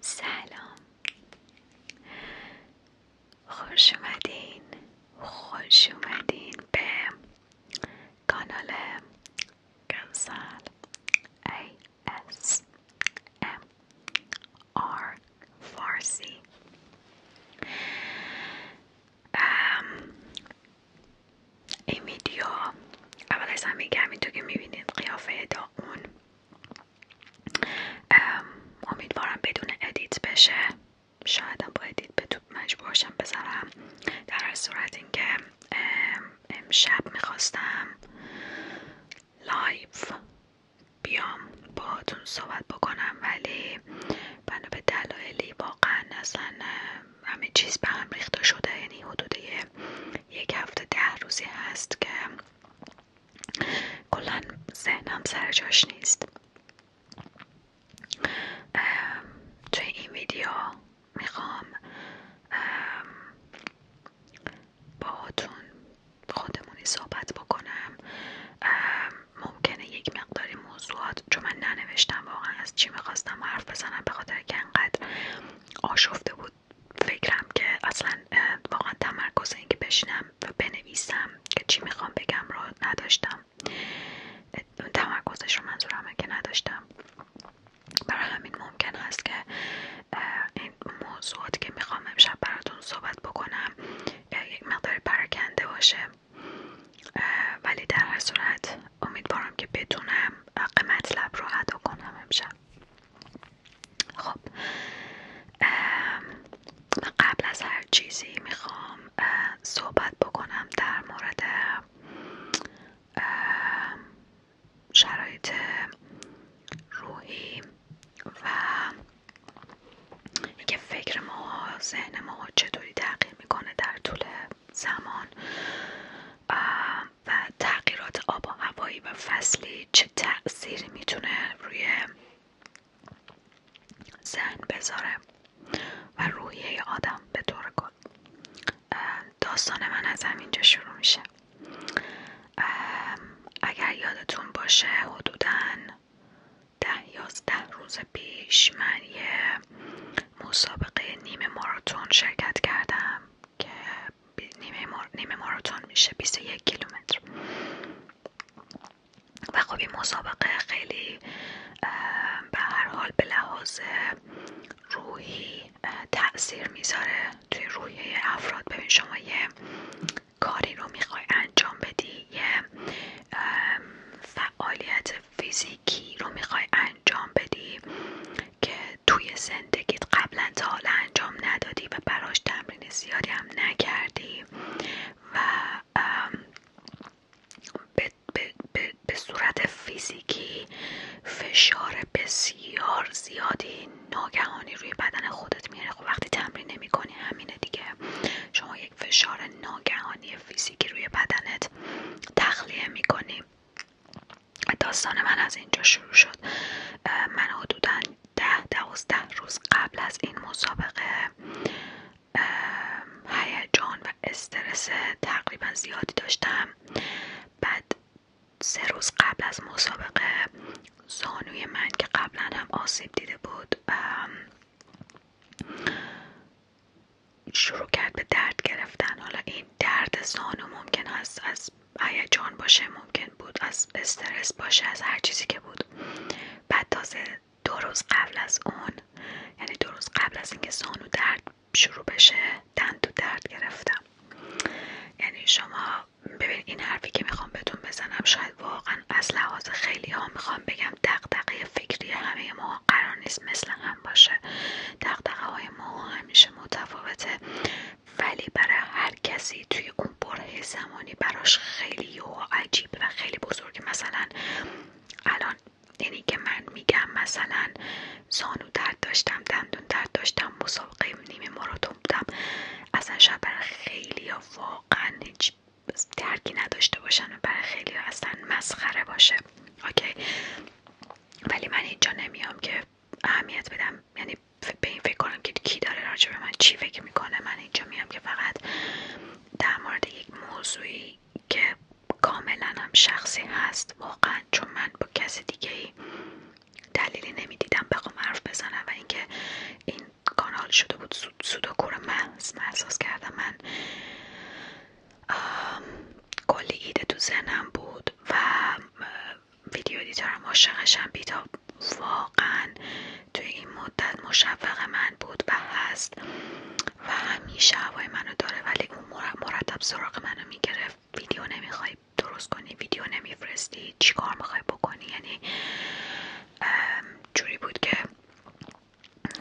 سلام خوش اومدین خوش اومدین به کانال ام آر فارسی این ویدیو اول از همه میگم تو که میبینید قیافه اون امیدوارم بدون ادیت بشه شایدم با ادیت به تو مجبورشم بذارم در هر صورت اینکه امشب میخواستم لایف بیام باهاتون صحبت بکنم ولی بنا به دلایلی واقعا اصلا همه چیز به هم ریخته شده یعنی حدود یک هفته ده روزی هست که کلا ذهنم سر جاش نیست توی این ویدیو میخوام باهاتون خودمونی صحبت بکنم ممکنه یک مقداری موضوعات چون من ننوشتم واقعا از چی میخواستم حرف بزنم به خاطر که انقدر آشفته بود فکرم که اصلا واقعا تمرکز اینکه بشینم و بنویسم که چی میخوام بگم رو نداشتم تمرکزش رو منظورمه که نداشتم برای همین ممکن است که این موضوعات که میخوام امشب براتون صحبت بکنم یک مقدار پراکنده باشه ولی در هر صورت امیدوارم که بتونم حق مطلب رو ادا کنم امشب خب من قبل از هر چیزی میخوام صحبت بکنم در مورد شرایط روحی و اینکه فکر ما ذهن ما چطوری تغییر میکنه در طول زمان و تغییرات آب و هوایی و فصلی چه تأثیری میتونه روی ذهن بذاره و روحیه آدم به طور کل داستان من از همینجا شروع میشه اگر یادتون باشه حدودا ده یازده روز پیش من یه مسابقه نیمه ماراتون شرکت کردم که نیمه, مار... نیمه میشه 21 کیلومتر و خب این مسابقه خیلی به هر حال به لحاظ روحی تاثیر میذاره توی روحیه افراد ببین شما یه کاری رو میخوای انجام بدی یه فعالیت فیزیکی رو میخوای انجام بدی که توی زندگیت قبلا تا حالا انجام ندادی و براش تمرین زیادی هم نکردی و به, به صورت فیزیکی فشار بسیار زیادی ناگهانی روی بدن خودت میاره خب وقتی تمرین نمی کنی همینه دیگه شما یک فشار ناگهانی فیزیکی روی بدنت تخلیه میکنی داستان من از اینجا شروع شد من حدودا ده دوازده روز قبل از این مسابقه هیجان و استرس تقریبا زیادی داشتم بعد سه روز قبل از مسابقه زانوی من که قبلا هم آسیب دیده بود شروع کرد به درد گرفتن حالا این درد زانو ممکن است از جان باشه ممکن بود از استرس باشه از هر چیزی که بود بعد تازه دو روز قبل از اون یعنی دو روز قبل از اینکه زانو درد شروع بشه و درد گرفتم یعنی شما ببین این حرفی که میخوام بهتون بزنم شاید واقعا از لحاظ خیلی ها میخوام بگم دقدقه فکری همه ما قرار نیست مثل هم باشه دقدقه های ما همیشه متفاوته ولی برای هر کسی توی اون بره زمانی براش خیلی و عجیب و خیلی بزرگه مثلا الان یعنی که من میگم مثلا زانو درد داشتم دندون درد داشتم مسابقه نیمه ماراتون بودم اصلا شاید برای خیلی ها واقعا هیچ درکی نداشته باشن و برای خیلی اصلا مسخره باشه اوکی ولی من اینجا نمیام که اهمیت بدم یعنی به این فکر کنم که کی داره راجع به من چی فکر میکنه من اینجا میام که فقط در مورد یک موضوعی که کاملا هم شخصی هست واقعا چون من با کسی دیگه ای دلیلی نمیدیدم بخوام حرف بزنم و اینکه این کانال شده بود سود, و من احساس کردم من کلی ایده تو ذهنم بود و ویدیو دیدارم عاشقشم بیتا واقعا توی این مدت مشوق من بود و هست و همیشه هوای منو داره ولی اون مرتب سراغ منو میگرفت ویدیو نمیخوای درست کنی ویدیو نمیفرستی چیکار میخوای بکنی یعنی جوری بود که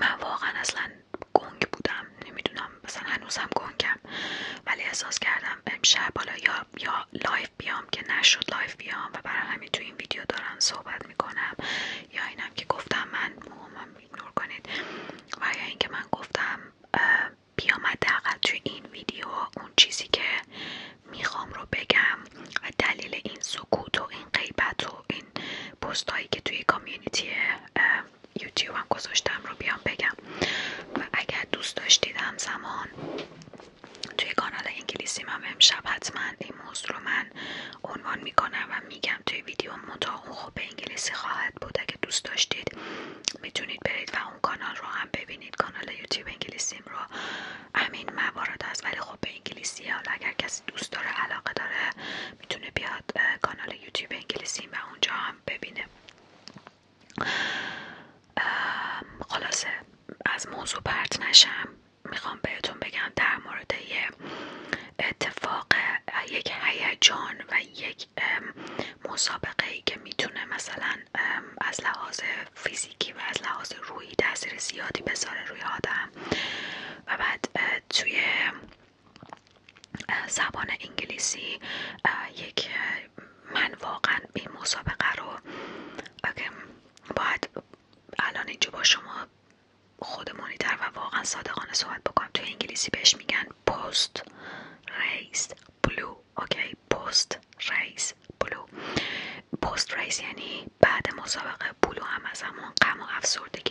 من واقعا اصلا گنگ بودم نمیدونم مثلا هنوزم گنگم ولی احساس کردم امشب حالا یا, یا لایف بیام که نشد لایف بیام و برای همین تو این ویدیو دارم صحبت میکنم یا اینم که گفتم من من ایگنور کنید و یا اینکه من گفتم بیام توی تو این ویدیو اون چیزی که میخوام رو بگم و دلیل این سکوت و این قیبت و این پستهایی که توی کامیونیتی یوتیوب هم گذاشتم رو بیام بگم و اگر دوست داشتید همزمان توی کانال انگلیسی هم امشب حتما این موضوع رو من عنوان میکنم و میگم توی ویدیو متا اون خوب انگلیسی خواهد بود اگه دوست داشتید میتونید برید و اون کانال رو هم ببینید کانال یوتیوب انگلیسیم رو همین موارد هست ولی خب به انگلیسی حالا اگر کسی دوست داره علاقه داره میتونه بیاد کانال یوتیوب انگلیسیم و اونجا هم ببینه خلاصه از موضوع پرت نشم میخوام بهتون بگم در مورد یه اتفاق یک هیجان و یک مسابقه ای که میتونه مثلا از لحاظ فیزیکی و از لحاظ روحی تاثیر زیادی بذاره روی آدم و بعد توی زبان انگلیسی یک من واقعا این مسابقه رو باید الان اینجا با شما خودمونی تر و واقعا صادقانه صحبت بکنم تو انگلیسی بهش میگن پست ریس بلو اوکی پست ریس بلو پست ریس یعنی بعد مسابقه بلو هم از همون غم و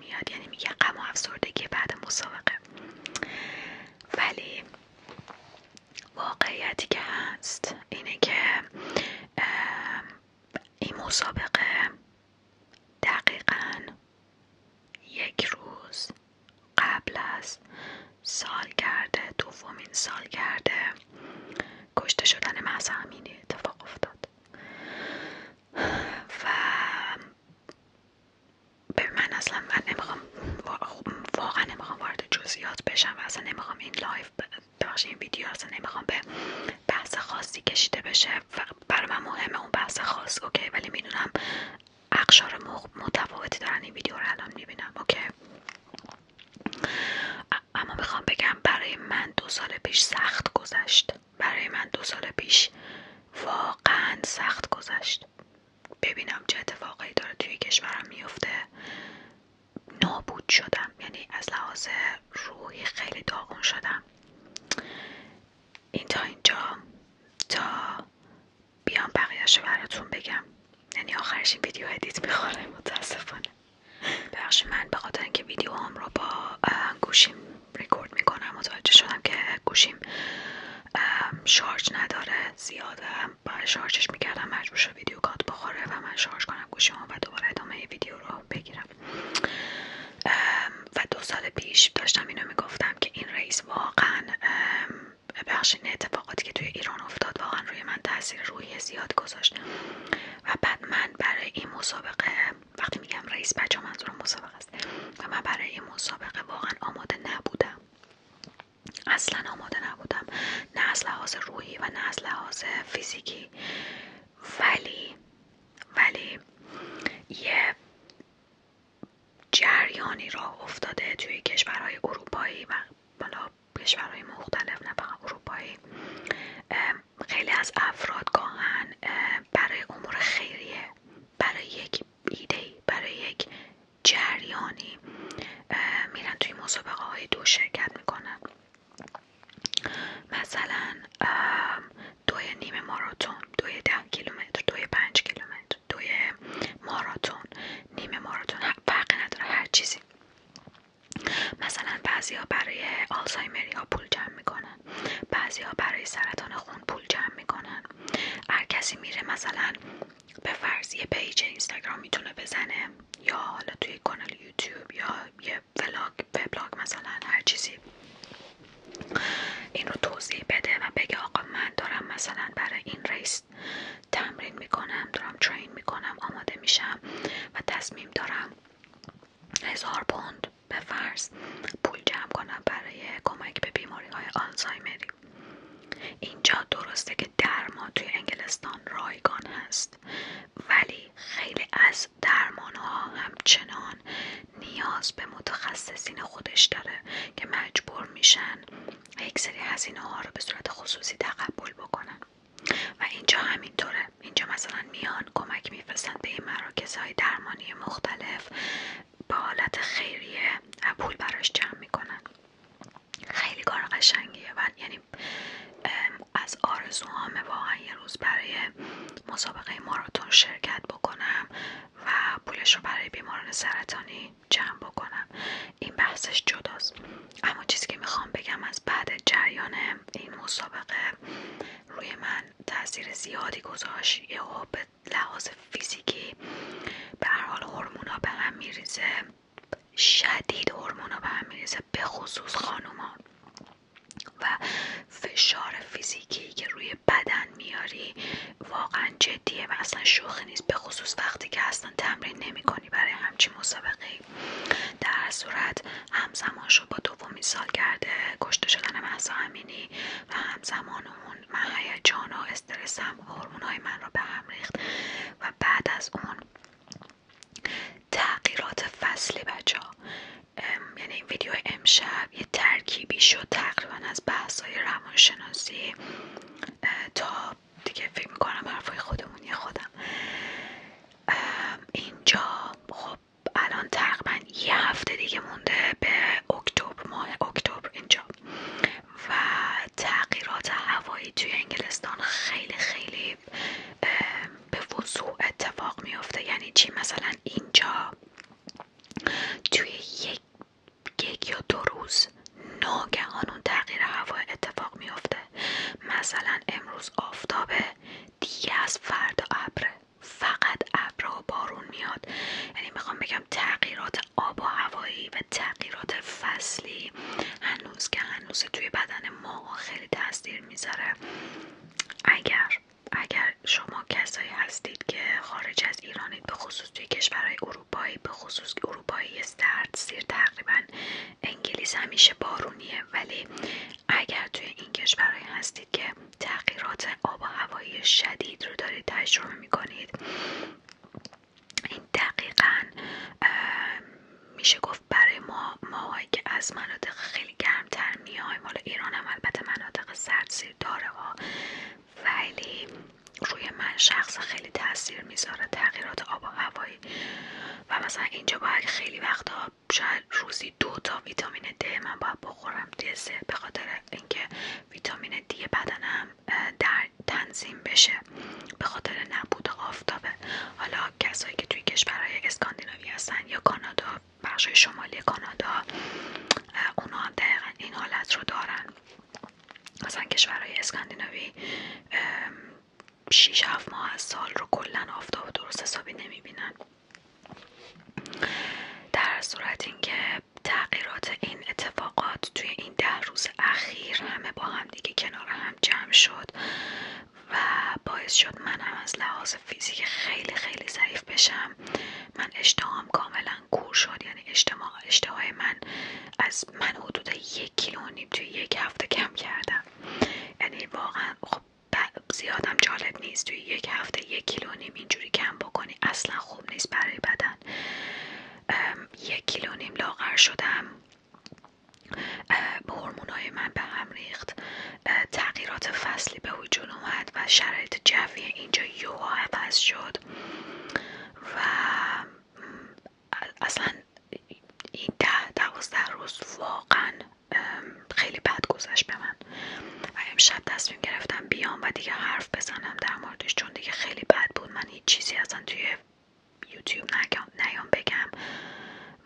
میاد یعنی میگه غم و افسردگی بعد مسابقه ولی واقعیتی که هست اینه که این مسابقه دقیقا یک روز قبل از سالگرد دومین سالگرد کشته شدن مهسا امینی اتفاق افتاد و به من اصلا من نمیخوام واقعا نمیخوام وارد جزئیات بشم و اصلا نمیخوام این لایف این ویدیو اصلا نمیخوام به بحث خاصی کشیده بشه و برای من مهمه اون بحث خاص اوکی ولی میدونم اقشار متفاوتی دارن این ویدیو رو الان میبینم اوکی اما میخوام بگم برای من دو سال پیش سخت گذشت برای من دو سال پیش واقعا سخت گذشت ببینم چه ای داره توی کشورم میفته نابود شدم یعنی از لحاظ روحی خیلی داغون شدم این تا اینجا تا بیام بقیهش براتون بگم یعنی آخرش این ویدیو ادیت میخوره متاسفانه بخش من به خاطر اینکه ویدیو هم رو با گوشیم ریکورد میکنم متوجه شدم که گوشیم شارژ نداره زیاد برای شارژش میکردم مجبور ویدیو کات بخوره و من شارژ کنم گوشیمو و دوباره ادامه ویدیو رو بگیرم و دو سال پیش داشتم اینو میگفتم که این رئیس واقعا بخش این اتفاقاتی که توی ایران افتاد واقعا روی من تاثیر روحی زیاد گذاشت و بعد من برای این مسابقه وقتی میگم رئیس بچه منظورم مسابقه است و من برای این مسابقه واقعا آماده نبودم اصلا آماده نبودم نه از لحاظ روحی و نه از لحاظ فیزیکی ولی ولی یه جریانی را افتاده توی کشورهای اروپایی و حالا کشورهای مختلف نه فقط اروپایی خیلی از افراد گاهن برای امور خیریه برای یک ایده برای یک جریانی میرن توی مسابقه های دو شرکت میکنن مثلا دوی نیمه ماراتون دوی ده کیلومتر دوی پنج کیلومتر دوی ماراتون نیم ماراتون فرق نداره هر چیزی مثلا بعضی ها برای آلزایمری ها پول جمع میکنن بعضی ها برای سرطان خون پول جمع میکنن هر کسی میره مثلا به فرض پیج اینستاگرام میتونه بزنه یا حالا توی کانال یوتیوب یا یه ولاگ وبلاگ مثلا هر چیزی این رو توضیح بده و بگه آقا من دارم مثلا برای این ریس تمرین میکنم دارم ترین میکنم آماده میشم و تصمیم دارم هزار پوند به فرض پول جمع کنم برای کمک به بیماری های اینجا درسته که درما توی انگلستان رایگان هست ولی خیلی از درمانها همچنان نیاز به متخصصین خودش داره که مجبور میشن یک سری هزینه ها رو به صورت خصوصی تقبل بکنن و اینجا همینطوره اینجا مثلا میان کمک میفرستن به این مراکز درمانی مختلف به حالت خیریه پول براش جمع میکنن خیلی کار قشنگیه و یعنی از آرزوام واقعا یه روز برای مسابقه ماراتون شرکت بکنم و پولش رو برای بیماران سرطانی جمع بکنم این بحثش جداست اما چیزی که میخوام بگم از بعد جریان این مسابقه روی من تاثیر زیادی گذاشت یهو به لحاظ فیزیکی به هر حال ها به هم میریزه شدید هورمونا به هم میریزه به خصوص خانوما و فشار فیزیکی که روی بدن میاری واقعا جدیه و اصلا شوخی نیست به خصوص وقتی که اصلا تمرین نمی کنی برای همچین مسابقه در صورت همزمان رو با دومی سال کرده کشته شدن محضا همینی و همزمان اون من جان و هم هورمون های من رو به هم ریخت و بعد از اون تغییرات فصلی بچه ها یعنی این ویدیو امشب یه ترکیبی شد تقریبا از بحث های روانشناسی تا دیگه فکر میکنم حرفای خودمونی خودم اینجا خب الان تقریبا یه هفته دیگه مونده به اکتبر ماه اکتبر اینجا و تغییرات هوایی توی انگلستان خیلی خیلی به وضوع اتفاق میفته یعنی چی مثلا اینجا توی یک یک یا دو روز ناگهان اون تغییر هوا اتفاق میافته مثلا امروز آفتابه دیگه از فردا ابره فقط ابر و بارون میاد یعنی میخوام بگم تغییرات آب و هوایی و تغییرات فصلی که هنوز توی بدن ما خیلی تاثیر میذاره اگر اگر شما کسایی هستید که خارج از ایرانید به خصوص توی کشورهای اروپایی به خصوص اروپایی سرد سیر تقریبا انگلیس همیشه بارونیه ولی اگر توی این کشورهای هستید که تغییرات آب و هوایی شدید رو دارید تجربه میکنید دقیقا میشه گفت برای ما ماهایی که از مناطق خیلی گرمتر میایم حالا ایران هم البته مناطق سردسیر داره ها ولی روی من شخص خیلی تاثیر میذاره تغییرات آب و هوایی و مثلا اینجا باید خیلی وقتا شاید روزی دو تا ویتامین د من باید بخورم سه به خاطر اینکه ویتامین دی بدنم در تنظیم بشه به خاطر نبود آفتابه حالا کسایی که توی کشورهای اسکاندیناوی هستن یا کانادا بخش شمالی کانادا اونا هم دقیقا این حالت رو دارن مثلا کشورهای اسکاندیناوی شیش هفت ماه از سال رو کلا آفتاب درست حسابی نمیبینن در صورت اینکه تغییرات این اتفاقات توی این ده روز اخیر همه با هم دیگه کنار هم جمع شد و باعث شد من هم از لحاظ فیزیک خیلی خیلی ضعیف بشم من اشتهام کاملا کور شد یعنی اشتهای من از من حدود یک کیلو نیم توی یک هفته کم کردم یعنی واقعا خب زیادم جالب نیست توی یک هفته یک کیلو نیم اینجوری کم بکنی اصلا خوب نیست برای بدن یک کیلو نیم لاغر شدم به های من به هم ریخت تغییرات فصلی به وجود اومد و شرایط جوی اینجا یوا عوض شد و اصلا این ده دوازده روز واقعا خیلی بد گذشت به من و امشب تصمیم گرفتم بیام و دیگه حرف بزنم در موردش چون دیگه خیلی بد بود من هیچ چیزی اصلا توی یوتیوب نیام بگم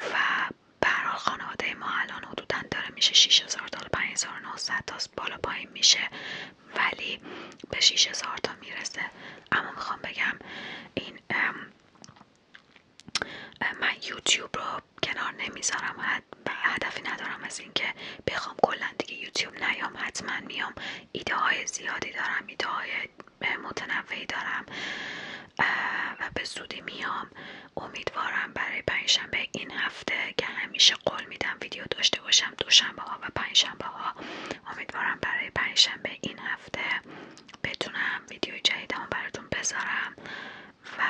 و برحال خانواده ما الان حدودا داره میشه 6000 تا 5900 تا بالا پایین میشه ولی به 6000 تا میرسه اما میخوام بگم این من یوتیوب رو کنار نمیذارم هدفی ندارم از اینکه بخوام کلا دیگه یوتیوب نیام حتما میام ایده های زیادی دارم ایده های متنوعی دارم و به زودی میام امیدوارم برای پنجشنبه این هفته که همیشه قول میدم ویدیو داشته باشم دوشنبه ها و پنجشنبه ها امیدوارم برای پنجشنبه این هفته بتونم ویدیو جدیدمو براتون بذارم و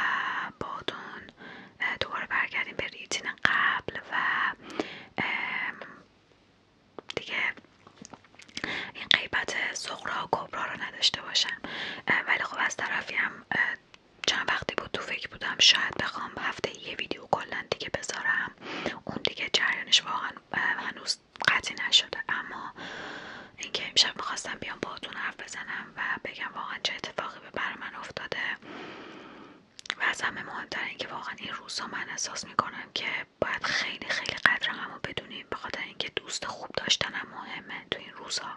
بعدون دوباره برگردیم به ریتین قبل و دیگه این قیبت سغرا و کبرا رو نداشته باشم ولی خب از طرفی هم چند وقتی بود تو فکر بودم شاید بخوام هفته یه ویدیو کلا دیگه بذارم اون دیگه جریانش واقعا هنوز قطعی نشده اما اینکه امشب میخواستم بیام باهاتون حرف بزنم و بگم واقعا چه اتفاقی به بر من افتاده و از همه مهمتر اینکه واقعا این روزها من احساس میکنم که باید خیلی خیلی قدر رو بدونیم به اینکه دوست خوب داشتنم مهمه تو این روزها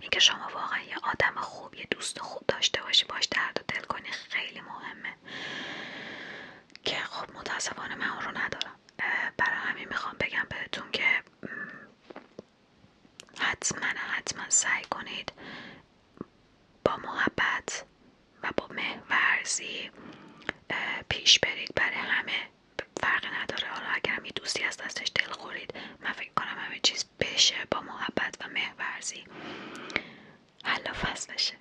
اینکه شما واقعا یه آدم خوب یه دوست خوب داشته باشی باش درد دل کنی خیلی مهمه که خب متاسفانه من اون رو ندارم برای همین میخوام بگم بهتون که حتما حتما سعی کنید با محبت و با مهورزی پیش برید برای همه فرقی نداره حالا اگر یه دوستی از دستش دل خورید من فکر کنم همه چیز بشه با محبت و مهورزی حالا فصل بشه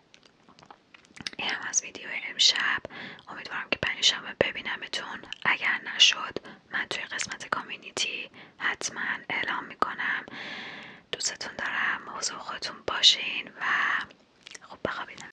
این هم از ویدیو امشب امیدوارم که پنجشنبه ببینمتون اگر نشد من توی قسمت کامیونیتی حتما اعلام میکنم دوستتون دارم موضوع خودتون باشین و خوب بخوابیدم